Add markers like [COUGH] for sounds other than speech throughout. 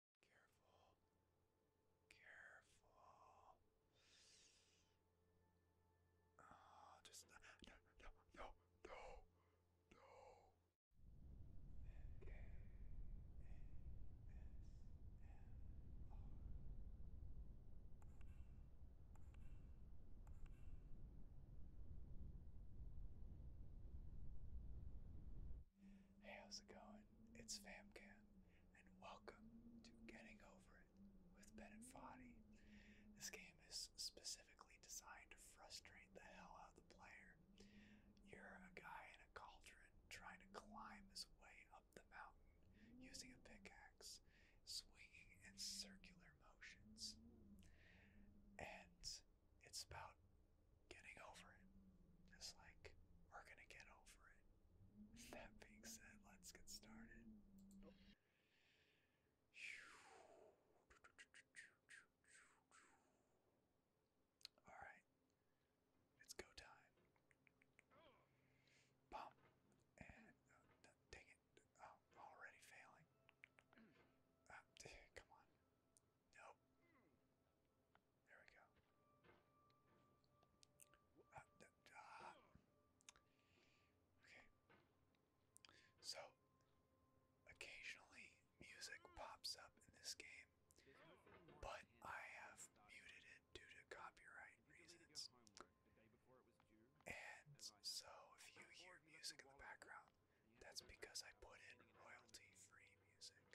Careful. Careful. Oh, just no, no, no, no, no, Hey, how's it going? It's FamCam, and welcome to Getting Over It with Ben and Foddy. This game is specifically designed to frustrate the hell out of the player. You're a guy in a cauldron trying to climb his way up the mountain using a pickaxe, swinging in circular motions. And it's about getting over it. Just like we're gonna get over it. [LAUGHS] That being said, let's get started. Nope. Alright. It's go time. Bump. And uh, it. Oh, already failing. Ah, [LAUGHS] come on. Nope. There we go. Ah, ah. okay. So, occasionally music pops up in this game, but I have muted it due to copyright reasons. And so, if you hear music in the background, that's because I put in royalty free music.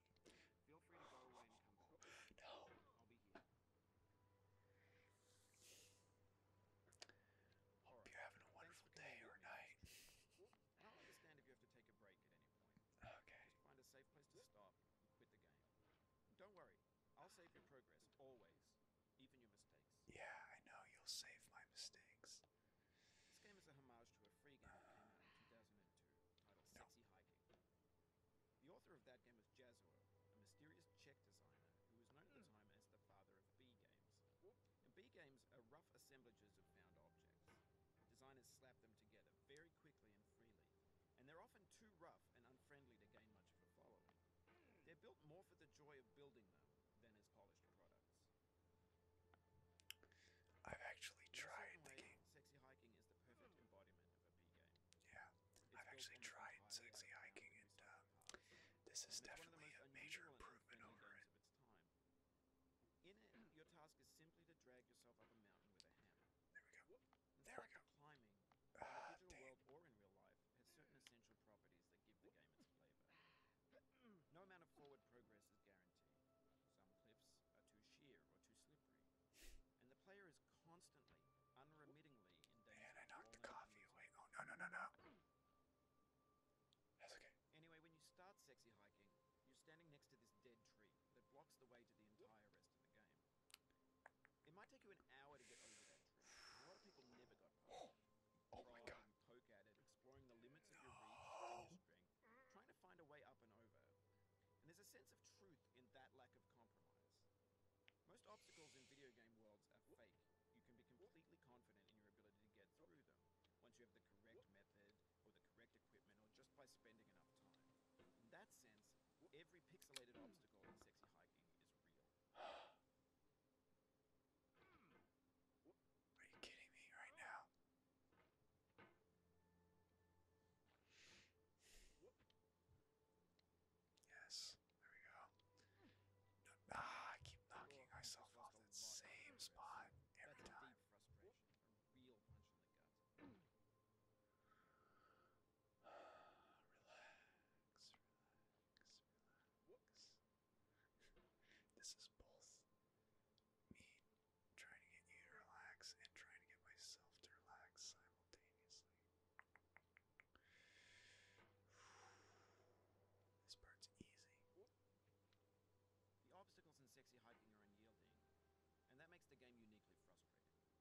No. I'll Hope you're having a wonderful day or night. Okay. Don't worry, I'll save your progress always, even your mistakes. Yeah, I know you'll save my mistakes. This game is a homage to a free game in [SIGHS] 2002 titled Sexy Hiking. The author of that game was Jazzo, a mysterious Czech designer who was known at the hmm. time as the father of B games. B games are rough assemblages of found objects. Designers slap them together very quickly and freely, and they're often too rough and unfriendly to gain much of a following. Hmm. They're built more for the joy of building them than as polished products. I've actually tried the game. Sexy hiking is the perfect hmm. embodiment yeah, I've actually tried sexy hiking, and um, uh, this is definitely a major improvement over it. In it, [CLEARS THROAT] your task is simply to drag yourself up a mountain with a hammer. There we go. There we go. Climbing, ah, in the digital world or in real life, has certain essential properties that give the game its [CLEARS THROAT] flavor. No amount of forward progress is guaranteed. Some cliffs are too sheer or too slippery and the player is constantly, unremittingly in danger. Man, I knocked the coffee away. Oh no no no no. That's okay. Anyway, when you start sexy hiking, you're standing next to this dead tree that blocks the way to the entire rest of the game. It might take you an hour to get over that tree. A lot of people never got. [GASPS] Oh, oh my god. Poke [GASPS] trying to find a way up and over. And there's a sense of truth in that lack of compromise. Most obstacles in video game worlds are fake. You can be completely confident in your ability to get through them once you have the correct method or the correct equipment or just by spending enough time. In that sense, every pixelated obstacle in sexy hiking is real. Are you kidding me right now? Yes, there we go. ah, I keep knocking myself off that same spot every time. [SIGHS] Relax, relax, relax. this is both me trying to get you to relax and trying to get myself to relax simultaneously. [SIGHS] This part's easy. The obstacles in sexy hiking are unyielding, and that makes the game uniquely frustrating.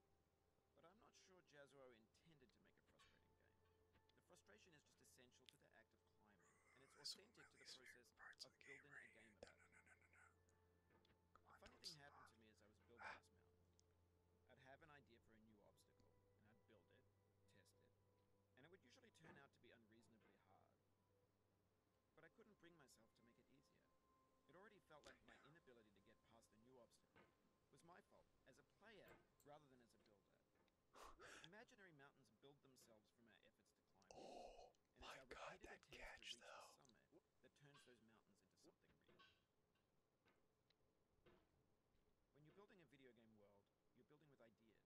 But I'm not sure Jazuo intended to make a frustrating game. The frustration is just essential to the act of climbing, and it's authentic to the process of, the building right a game the funny thing happened to me as I was building ah. this mountain. I'd have an idea for a new obstacle, and I'd build it, test it, and it would usually turn out to be unreasonably hard. But I couldn't bring myself to make it easier. It already felt like my inability to get past a new obstacle was my fault as a player rather than as a builder. [SIGHS] Imaginary mountains build themselves from our efforts to climb. Oh, my god, that catch though that turns those mountains into something real. When you're building a video game world, you're building with ideas.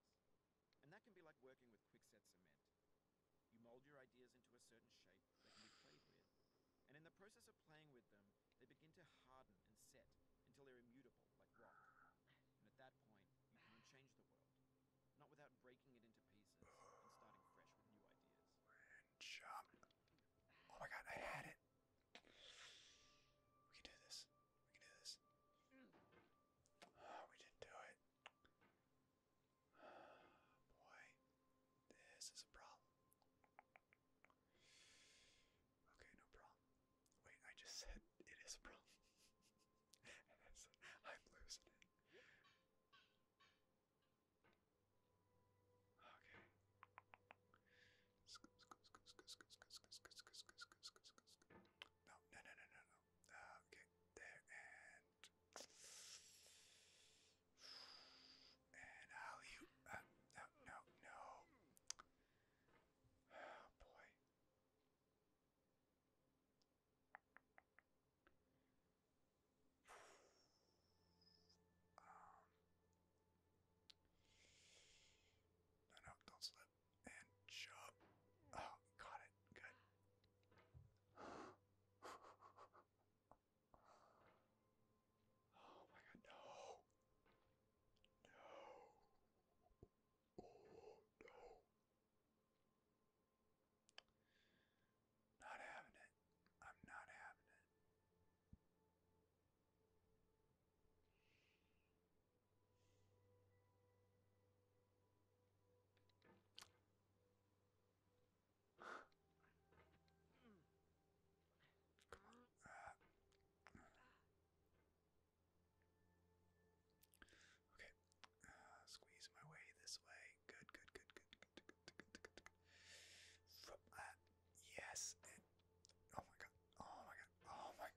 And that can be like working with quick-set cement. You mold your ideas into a certain shape that can be played with. And in the process of playing with them, they begin to harden and set until they're immutable, like rock. And at that point, you can change the world. Not without breaking it into pieces and starting fresh with new ideas jump. Oh my god, I had it. We can do this. We can do this. [SIGHS] we didn't do it. [SIGHS] boy, this is a problem. Okay, no problem. Wait, I just said [LAUGHS] it is a problem. [LAUGHS] I'm losing it. Okay. No, no, no, no, no, no. Uh, okay, there and and how you? Uh, no, no, no. Oh boy. Um, don't slip. And jump. Oh, got it. Good. Oh my god, no. No. Oh, no. Not having it. I'm not having it. Come [SIGHS] on. Okay. Uh, squeeze my way this way. good, good, good, good yes. oh my god. Oh my god. Oh my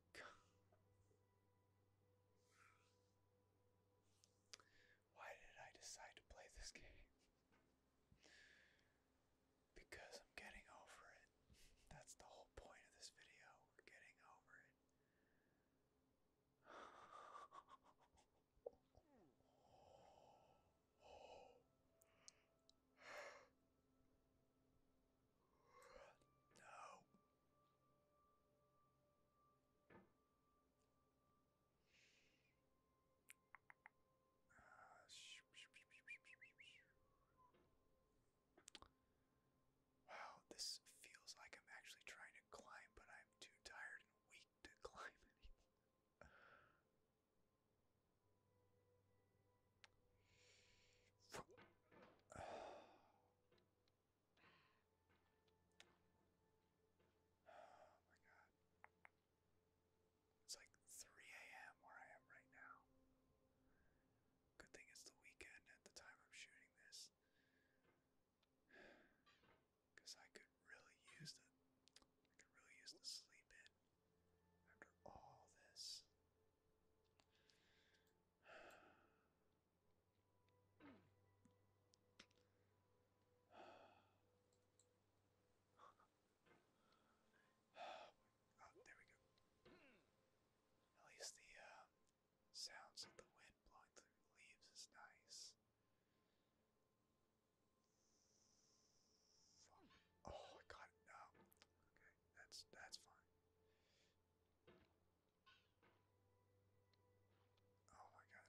god. Why did I decide to play this game? Because I'm getting over it. That's the whole point of this video. We're getting over it. [LAUGHS] No. Wow, this feels like I'm actually trying to climb, but I'm too tired and weak to [LAUGHS] climb anymore. Oh my god. It's like 3 a.m. where I am right now. Good thing it's the weekend at the time I'm shooting this. Because I could really use the I could really use the sleep in after all this. [SIGHS] Oh, there we go. At least the uh, sounds of the wind blowing through leaves is nice. Oh, I got No. Okay, that's that's fine. Oh my god.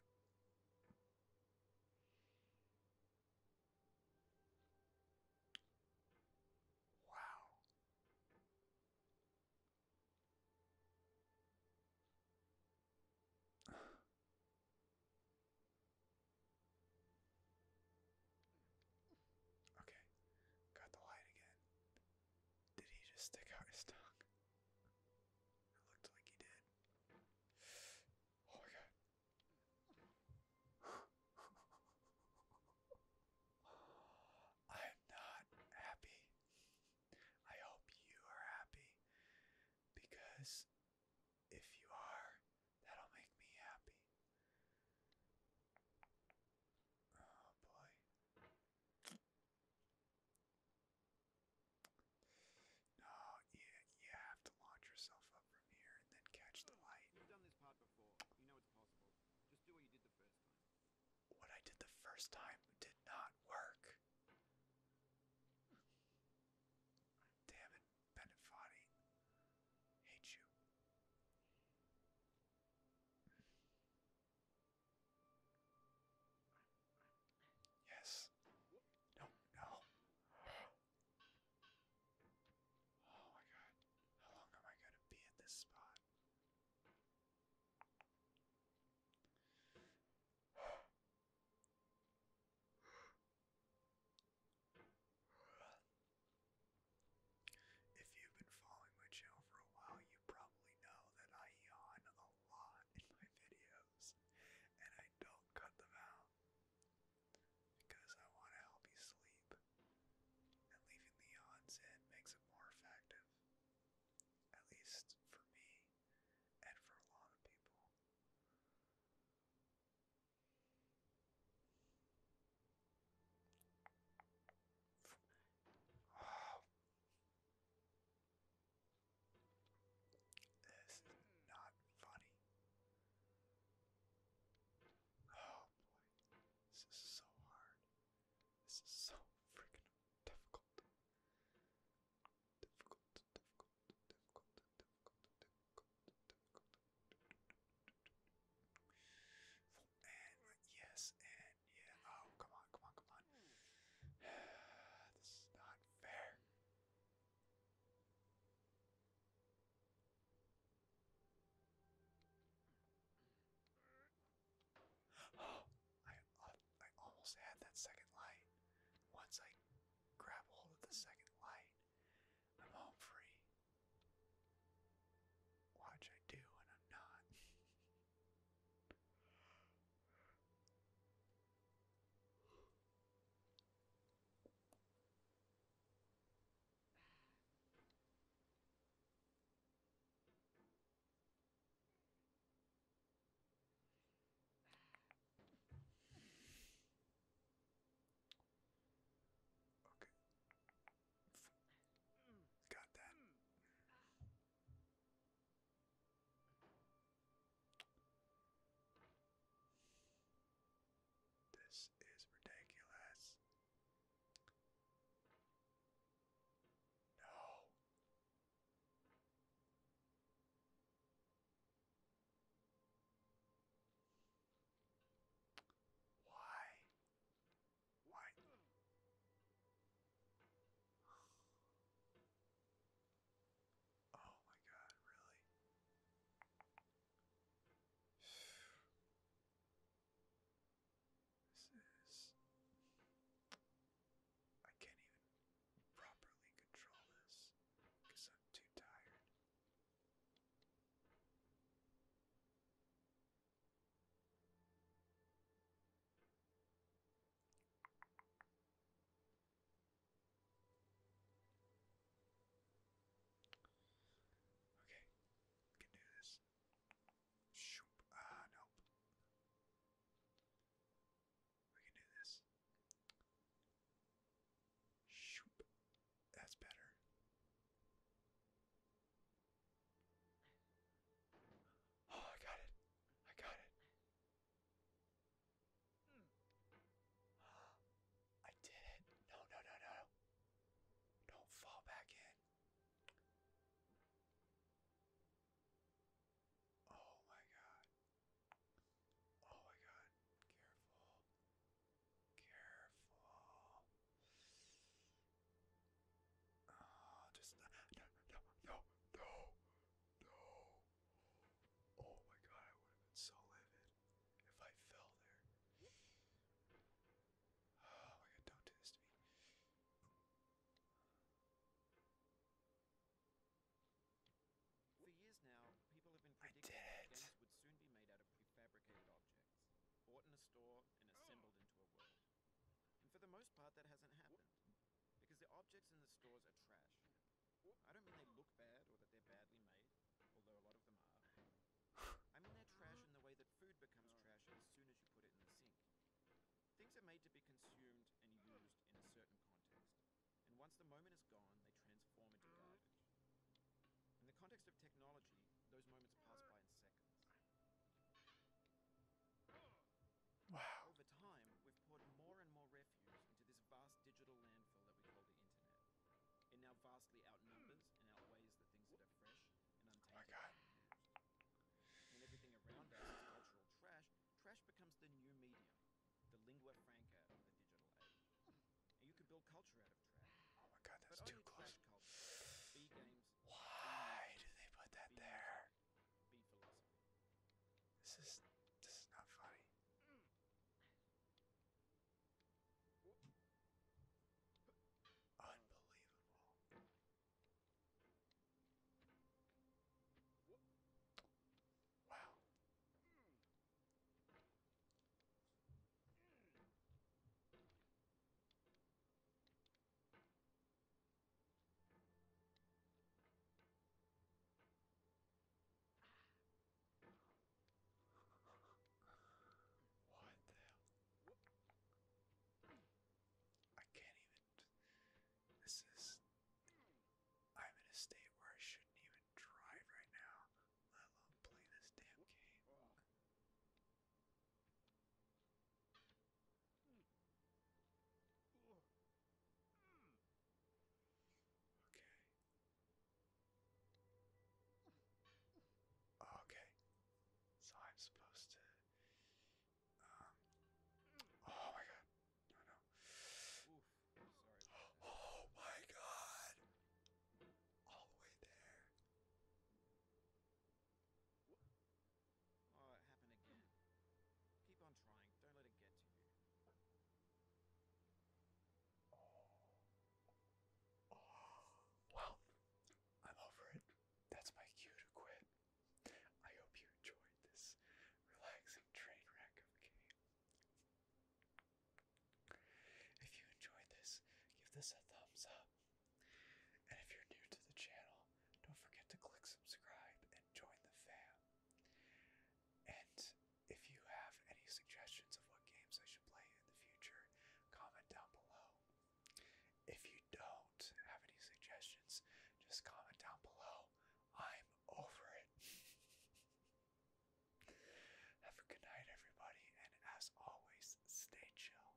Wow. [SIGHS] Okay, got the light again. Did he just stick out his tongue? It looked like he did. Oh my god. [LAUGHS] I'm not happy. I hope you are happy because if you are, that'll make me happy. Oh boy. No, you, you have to launch yourself up from here and then catch the light. You've done this part before. You know it's possible. Just do what you did the first time. What I did the first time did not work. Damn it. Benefati. Hate you. Yes. No, no. [GASPS] Oh my god. How long am I going to be at this spot? If you've been following my channel for a while, you probably know that I yawn a lot in my videos, and I don't cut them out because I want to help you sleep. And leaving the yawns in makes it more effective, at least for me and for a lot of people. This is not funny. Oh boy. This is so hard. This is so freaking difficult. Difficult difficult, And yes, and yeah. Oh, come on, come on, come on. [SIGHS] this is not fair. Oh, [GASPS] I, I almost had that second light. Once I grab hold of the second light, I'm home free. Watch, I do, and I'm not. Okay. Got that. This is ridiculous. No. Why? Why? Oh my god, really? This is. I can't even properly control this because I'm too tired. Okay, we can do this. Shoop. Ah, nope. We can do this. Shoop. That's better. Oh, I got it. I got it. Hmm. [GASPS] I did it. No, no, no, no. Don't fall back in. Oh my god. Oh my god, careful. Careful. Oh, just no, no, no, no, no. Oh my god, I would have been so livid if I fell there. Oh my god, don't do this to me. For years now, people have been predicting that games would soon be made out of prefabricated objects, bought in a store and oh. assembled into a world. And for the most part, that hasn't happened, because the objects in the stores are trash. I don't mean they look bad or that they're badly made, although a lot of them are. [LAUGHS] I mean they're trash in the way that food becomes oh. trash as soon as you put it in the sink. Things are made to be consumed and used in a certain context and once the moment is gone, they transform into garbage. In the context of technology, those moments pass by in seconds. Wow. Over time, we've poured more and more refuse into this vast digital landfill that we call the internet. It now vastly outnumbers and outweighs the things that are fresh and oh untainted. Oh when everything around us is cultural trash, trash becomes the new medium, the lingua franca of the digital age. Hmm. you could build culture out of trash. Oh my god, that's too close. Why do they put that there? This is this is not funny. Hmm. Unbelievable. Wow. Hmm. What the hell? I can't even. This is. I'm in a state where I shouldn't even drive right now, let alone play this damn game. Okay. Okay. So I'm supposed to. Um. Oh my god. no oh my god! All the way there. Oh, it happened again. Keep on trying. Don't let it get to you. Oh. Well, I'm over it. That's my cue to quit. I hope you enjoyed this relaxing train wreck of a game. If you enjoyed this, give this a thumbs up. And if you're new to the channel, don't forget to click subscribe and join the fam. And if you have any suggestions of what games I should play in the future, comment down below. If you don't have any suggestions, just comment down below. I'm over it. [LAUGHS] Have a good night, everybody, and as always, stay chill.